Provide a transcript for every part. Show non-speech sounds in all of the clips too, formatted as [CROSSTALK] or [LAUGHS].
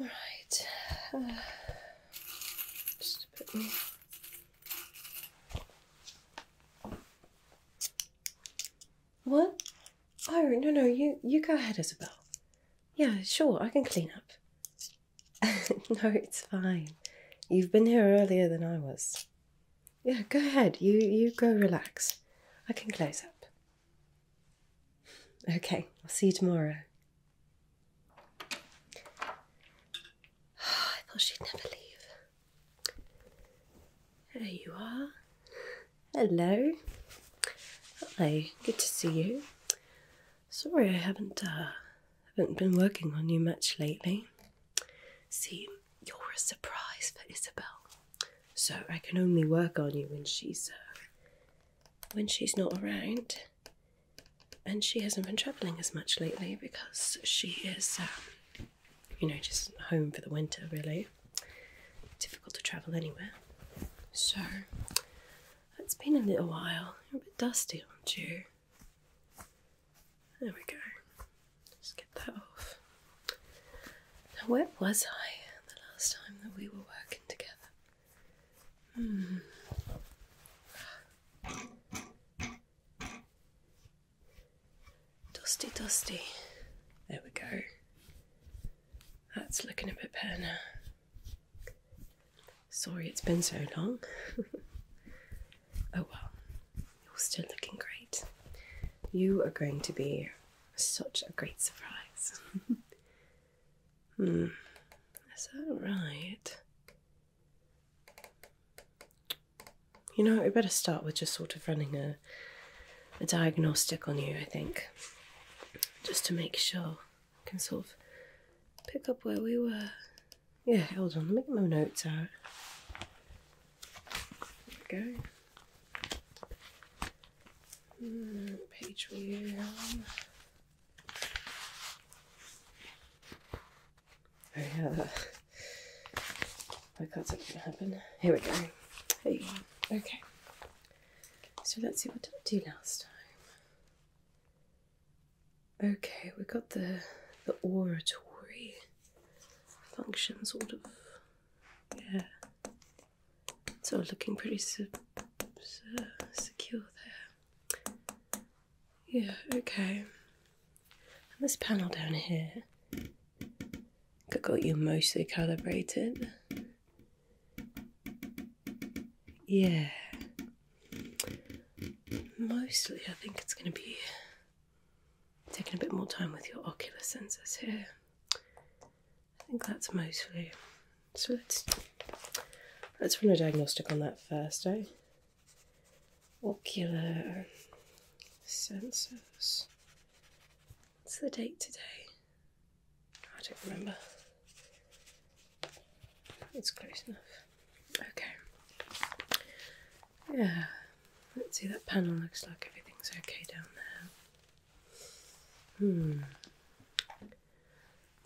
All right, uh, What? Oh no no you you go ahead, Isabel. Yeah, sure, I can clean up. [LAUGHS] no, it's fine. You've been here earlier than I was. Yeah, go ahead. You you go relax. I can close up. Okay, I'll see you tomorrow. [SIGHS] I thought she'd never leave. There you are. Hello. Hello. good to see you. Sorry I haven't uh, haven't been working on you much lately. See, you're a surprise for Isabel. So I can only work on you when she's uh, when she's not around, and she hasn't been travelling as much lately because she is, um, you know, just home for the winter. Really difficult to travel anywhere. So it's been a little while. You're a bit dusty, aren't you? There we go. Just get that off. Now, where was I the last time that we were working together? Hmm. Dusty, dusty. There we go. That's looking a bit better now. Sorry it's been so long. [LAUGHS] oh well, you're still looking great. You are going to be such a great surprise. Hmm. Is that right? You know, we better start with just sort of running a a diagnostic on you, I think. Just to make sure. I can sort of pick up where we were. Yeah, hold on, let me get my notes out. There we go. Mm, page view. Oh, yeah, like that's not gonna happen. Here we go. Here you are. Okay. So let's see what did I do last time. Okay, we got the the oratory function sort of. Yeah. It's all looking pretty secure there. Yeah, okay. this panel down here got you mostly calibrated. Yeah. Mostly, I think it's going to be taking a bit more time with your ocular sensors here. I think that's mostly. So let's let's run a diagnostic on that first, eh? Ocular sensors. What's the date today? I don't remember. It's close enough. Okay. Yeah. Let's see that panel looks like everything's okay down there. Hmm.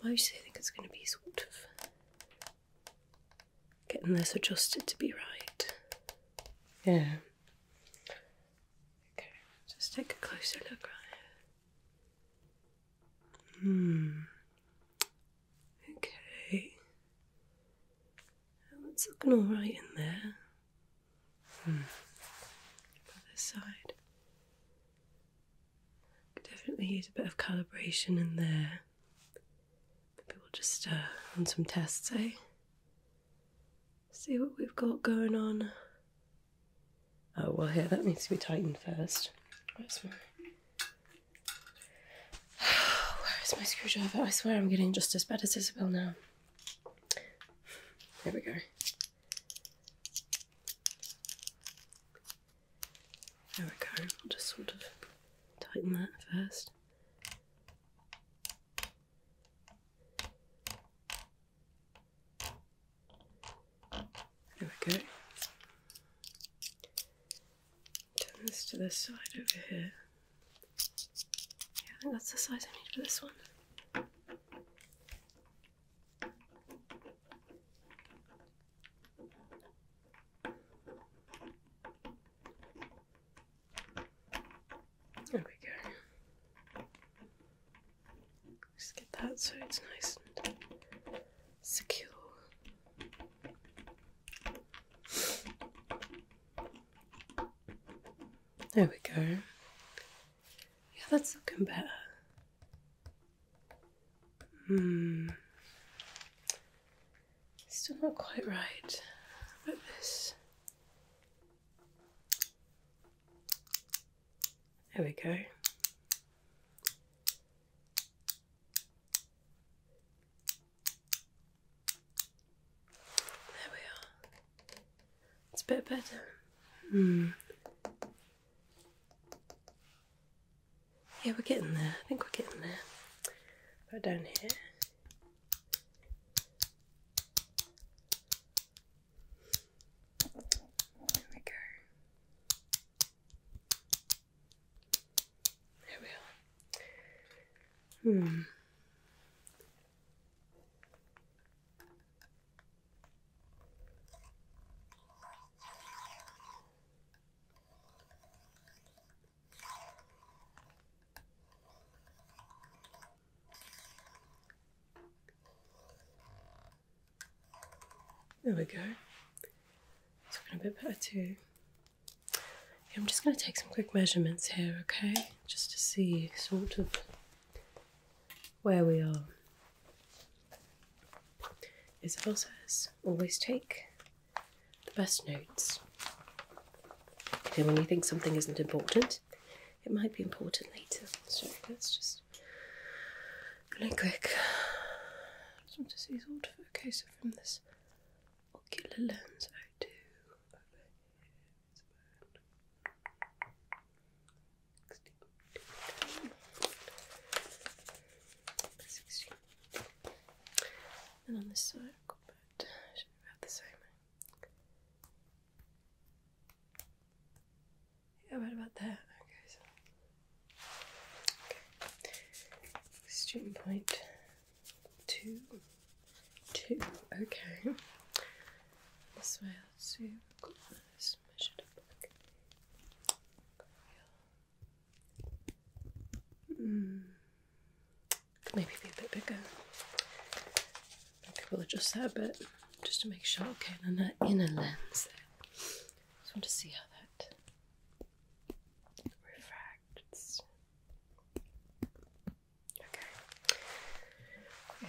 Mostly I think it's going to be sort of getting this adjusted to be right. Yeah. Okay, just take a closer look right here. Hmm. Okay. It's looking alright in there. Hmm. side. definitely use a bit of calibration in there. Maybe we'll just uh, run some tests, eh? See what we've got going on. Oh, well, here, that needs to be tightened first. Where's [SIGHS] my... Where is my screwdriver? I swear I'm getting just as bad as Isabel now. There we go. There we go. I'll just sort of tighten that first. There we go. Turn this to the side over here. Yeah, I think that's the size I need for this one. There we go. Just get that so it's nice and secure. There we go. Yeah, that's looking better. Hmm. Still not quite right. How about this? There we go. There we are. It's a bit better. Hmm. Yeah, we're getting there. I think we're getting there. But down here. There we go. There we are. Hmm. There we go. It's looking a bit better too. I'm just going to take some quick measurements here, okay? Just to see sort of where we are. Isabel says, always take the best notes. And when you think something isn't important, it might be important later. So let's just go quick. I just want to see sort of, okay, so from this ocular lens, I do over here. And on this side, i Should be about the same. Yeah, right about there. Okay. Student point. Two. Two. Okay. This way, let's see. Got this measured up. Hmm. maybe be a bit bigger. Maybe we'll adjust that a bit just to make sure. Okay, and then that inner lens I Just want to see how that refracts. Okay. Yeah.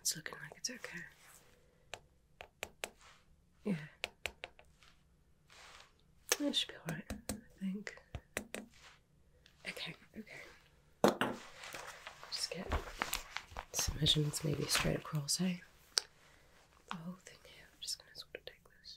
It's looking like it's okay. Yeah. That should be alright, I think. Okay, okay. Just get some measurements maybe straight across, Hey, eh? The whole thing here. just gonna sort of take this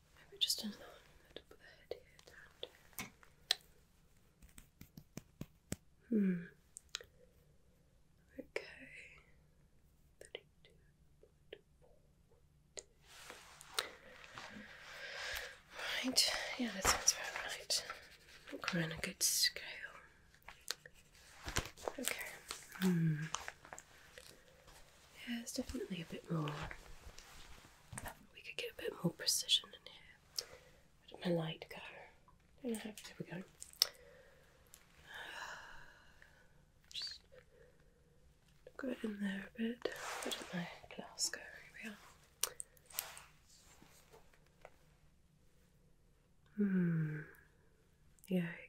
Maybe just another one Hmm. Okay. Right. Yeah, that sounds about right. I think we're on a good scale. Okay. Hmm. Yeah, it's definitely a bit more we could get a bit more precision in here. Where my light go? There we go. Just go in there a bit. Where my glass go? Here we are. Hmm. Yeah. Okay.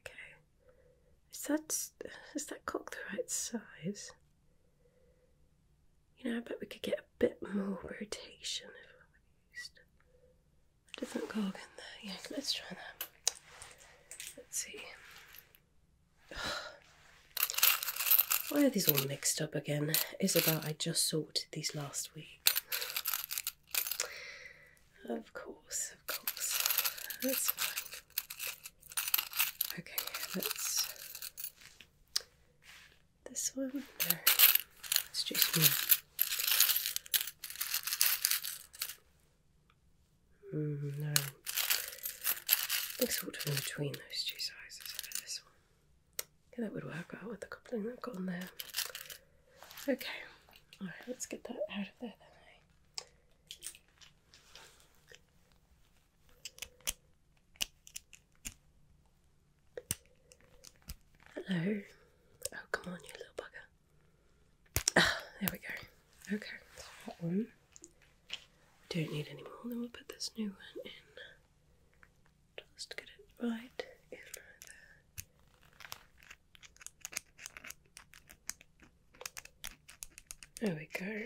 Is that is that cock the right size? You know, I bet we could get a bit more rotation if we used a different cog in there. Yeah, let's try that. Let's see. [SIGHS] Why are these all mixed up again? Isabel, I just sorted these last week. Of course, of course. That's fine. Okay, let's this one there. It's just me. Mm, no. Big sort of in between those two sizes this one. Yeah, that would work out with the coupling that I've got on there. Okay. Alright, let's get that out of there then. Eh? Hello. Oh, come on, you little bugger. Ah, there we go. Okay, that's that one. don't need any more. Then we'll put this new one in. Just get it right in there. There we go.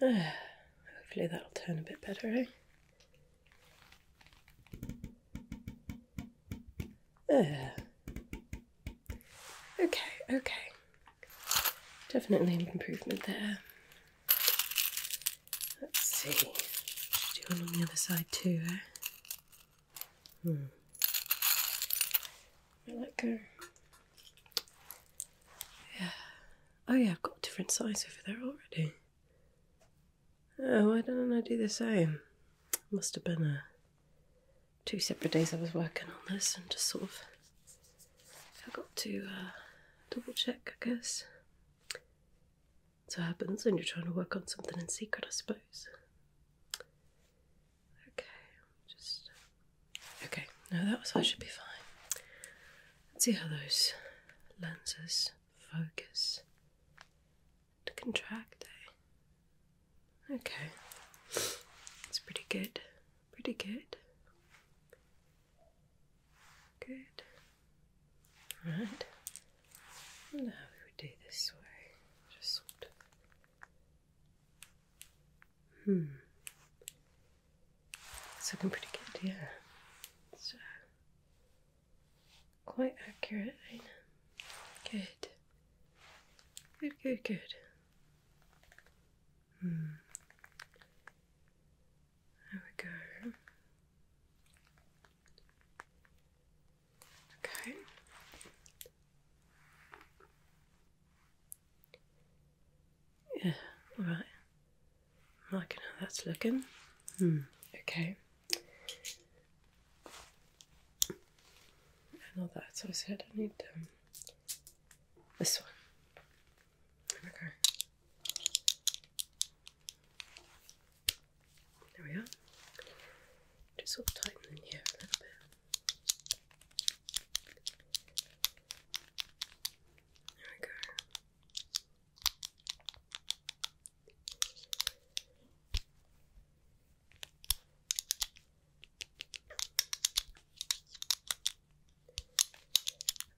[SIGHS] hopefully that'll turn a bit better, eh? Okay, okay. Definitely an improvement there. Let's see. Should on the other side too, eh? Hmm. I Yeah. Oh yeah, I've got different size over there already. Oh, why didn't I do the same? Must have been a two separate days I was working on this and just sort of forgot to uh, double check, I guess. So happens when you're trying to work on something in secret, I suppose. Okay, just okay. No, that was I should be fine. Let's see how those lenses focus to contract. Eh? Okay, it's pretty good. Pretty good. Good. All right. I we would do this way. Just sort of Hmm. It's looking pretty good, yeah. So uh, quite accurate, Good. Good, good, good. Hmm. There we go. Okay. Yeah, Right. I'm liking how that's looking. Hmm, okay. And all that, so I said I need um, this one. There There we are. Just sort of tighten in here a little bit. There we go.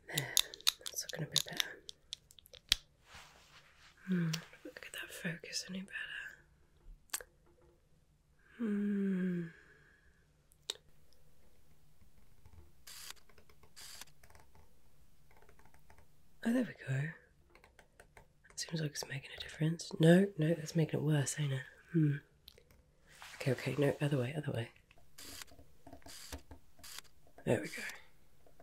There, that's looking a bit better. Hmm, look that focus any better. Hmm. Oh, there we go. seems like it's making a difference. No, no, that's making it worse, ain't it? Hmm. Okay, okay, no, other way, other way. There we go.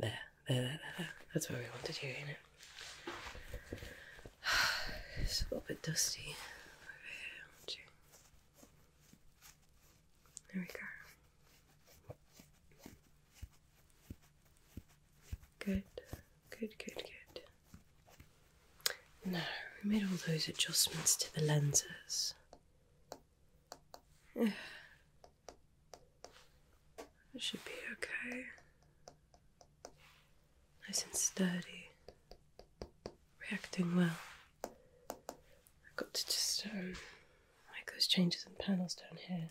There. That's where we wanted you, innit? [SIGHS] It's a little bit dusty over here, There we go. Good, good, good, good. Now, we made all those adjustments to the lenses. [SIGHS] It should be okay. Nice and sturdy. Reacting well. I've got to just um, make those changes in panels down here.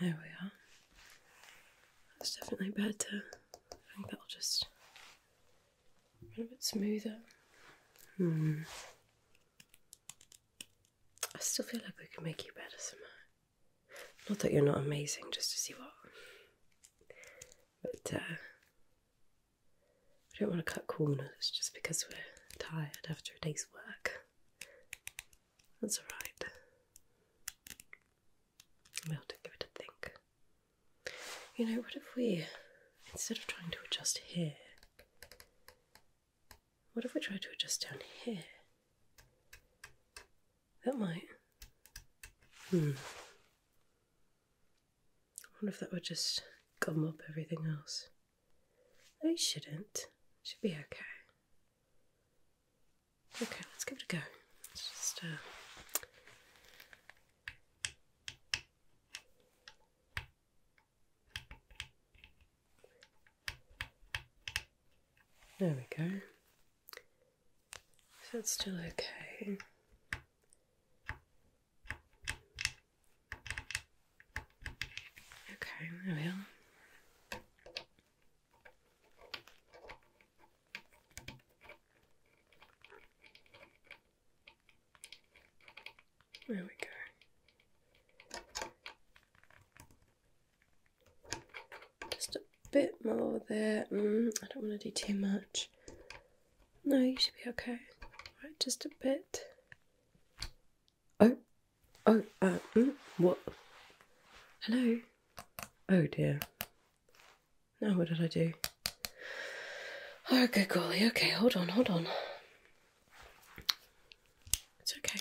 There we are. That's definitely better. I think that'll just run a bit smoother. Hmm. I still feel like we can make you better somehow. Not that you're not amazing, just to see what. But uh, we don't want to cut corners just because we're tired after a day's work. That's right. We ought to give it a think. You know, what if we, instead of trying to adjust here, what if we try to adjust down here? That might. Hmm. I wonder if that would just gum up everything else. No, shouldn't. Should be okay. Okay, let's give it a go. just uh, There we go. So it's still okay. Okay, there we There we go. Just a bit more there. Mm, I don't want to do too much. No, you should be okay. Right, just a bit. Oh, oh, uh, mm, what? Hello? Oh dear. Now what did I do? Oh, good golly. Okay, hold on, hold on. It's okay.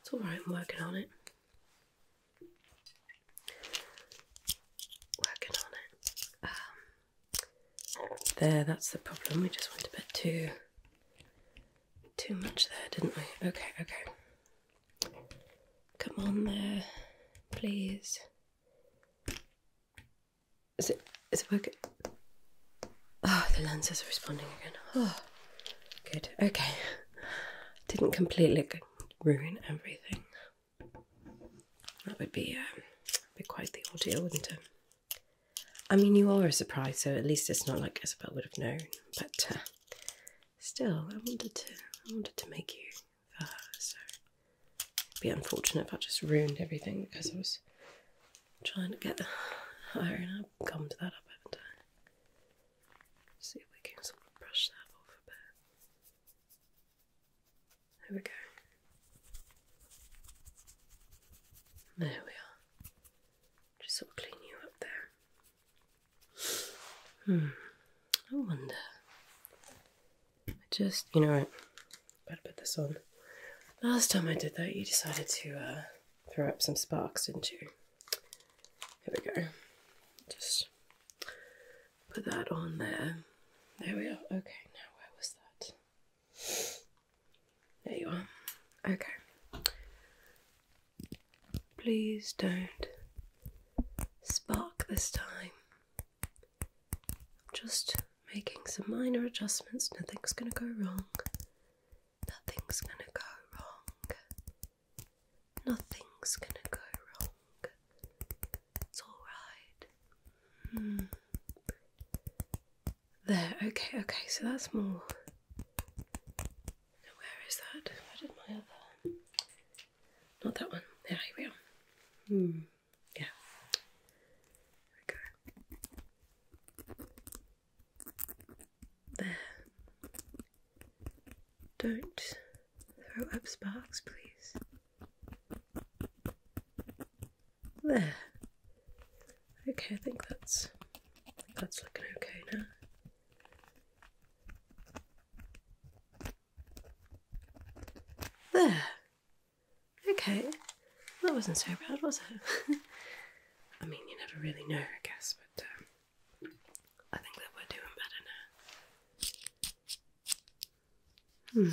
It's alright, I'm working on it. Um, there, that's the problem. We just went a bit too too much there, didn't we? Okay, okay. Come on there, please. Is it is it working? Oh, the lenses are responding again. Oh. Good, okay. Didn't completely ruin everything. That would be, um, be quite the ordeal, wouldn't it? I mean, you are a surprise, so at least it's not like Isabel would have known. But uh, still, I wanted to, I wanted to make you for her. So be unfortunate if I just ruined everything because I was trying to get her, and I've to that up, haven't I? See if we can sort of brush that off a bit. There we go. There we are. Just sort of clean you up there. Hmm. I wonder. just, you know, I better put this on. Last time I did that, you decided to uh, throw up some sparks, didn't you? Here we go. Just put that on there. There we are. Okay, now where was that? There you are. Okay. Please don't spark this time. just making some minor adjustments. Nothing's going to go wrong. Nothing's gonna go wrong. Nothing's gonna go wrong. It's alright. Hmm. There, okay, okay, so that's more. where is that? Where did my other. Not that one. There, here we are. Hmm. Yeah. There we go. There. Don't throw up sparks, please. There. Okay, I think that's that's looking okay now. There. Okay. That wasn't so bad, was it? [LAUGHS] I mean, you never really know, I guess, but um, I think that we're doing better now. Hmm.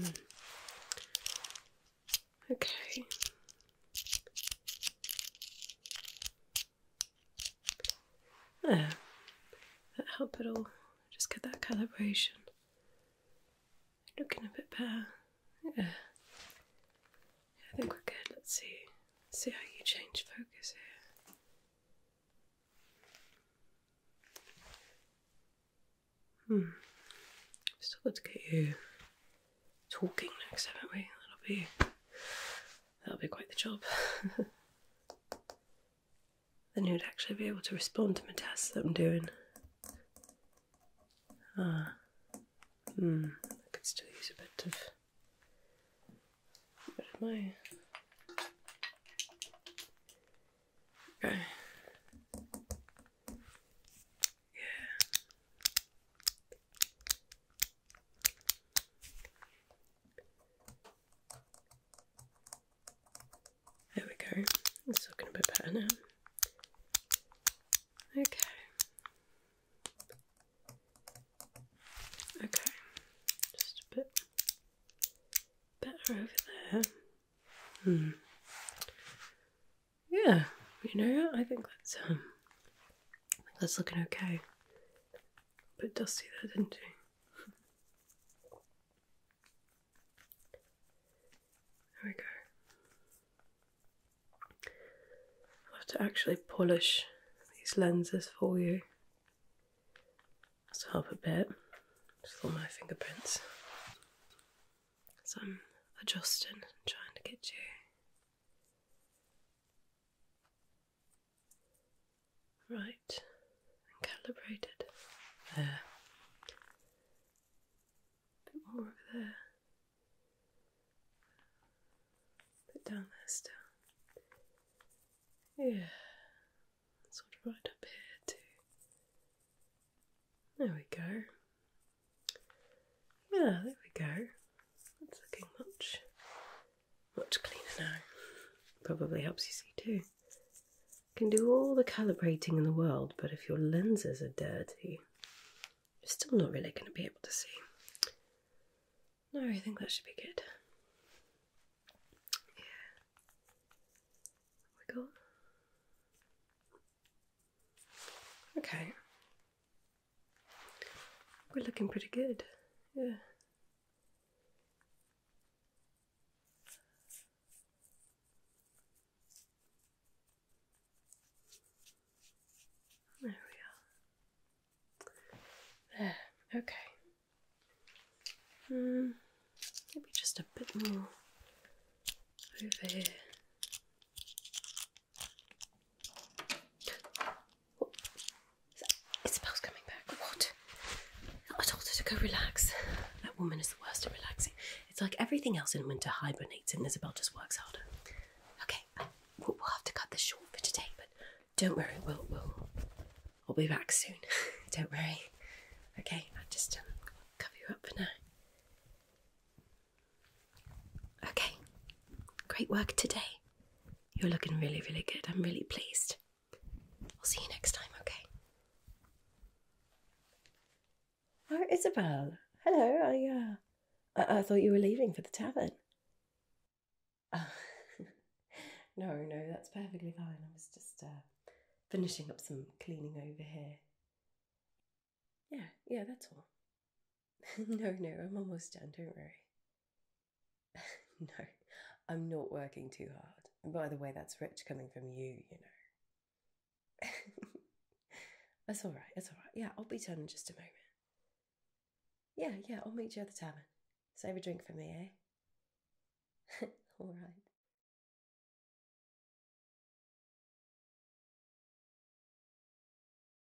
hmm. Okay. There, that help at all. Just get that calibration. Looking a bit better. Yeah. I think we're good. Let's see. See how you change focus here. Hmm. Still got to get you talking next, haven't we? That'll be That'll be quite the job. [LAUGHS] then he would actually be able to respond to my tests that I'm doing. Ah, hmm, I could still use a bit of. Where did my. Okay. Yeah. There we go. It's looking a bit better now. Okay. Okay. Just a bit better over there. Hmm. Yeah, you know, I think that's um I think that's looking okay. But dusty there, didn't you? [LAUGHS] There we go. i have to actually polish these lenses for you. That's help a bit. Just for my fingerprints. So I'm adjusting, trying to get you right and calibrated. There. bit more over there. bit down there still. Yeah. Sort of right up here too. There we go. Yeah, there we go. That's looking much much cleaner now. Probably helps you see too. Can do all the calibrating in the world, but if your lenses are dirty, you're still not really going to be able to see. No, I think that should be good. Yeah. Wiggle. Okay. We're looking pretty good. Yeah. There we are. There. Okay. Hmm. Maybe just a bit more over here. Isabel's coming back. What? I told her to go relax. That woman is the worst at relaxing. It's like everything else in winter hibernates and Isabel just works harder. Okay, we'll, have to cut this short for today, but don't worry, we'll, we'll, we'll be back soon. [LAUGHS] don't worry. Okay, i just um, cover you up for now. Okay, great work today. You're looking really, really good. I'm really pleased. I'll see you next time, okay? Oh, Isabel. Hello. I, uh, I, thought you were leaving for the tavern. [LAUGHS] no, no, that's perfectly fine. I was just uh, finishing up some cleaning over here. Yeah, yeah, that's all. [LAUGHS] no, no, I'm almost done, don't worry. [LAUGHS] no, I'm not working too hard. by the way, that's rich coming from you, you know. [LAUGHS] that's all right, that's all right. Yeah, I'll be done in just a moment. Yeah, yeah, I'll meet you at the tavern. Save a drink for me, eh? all right.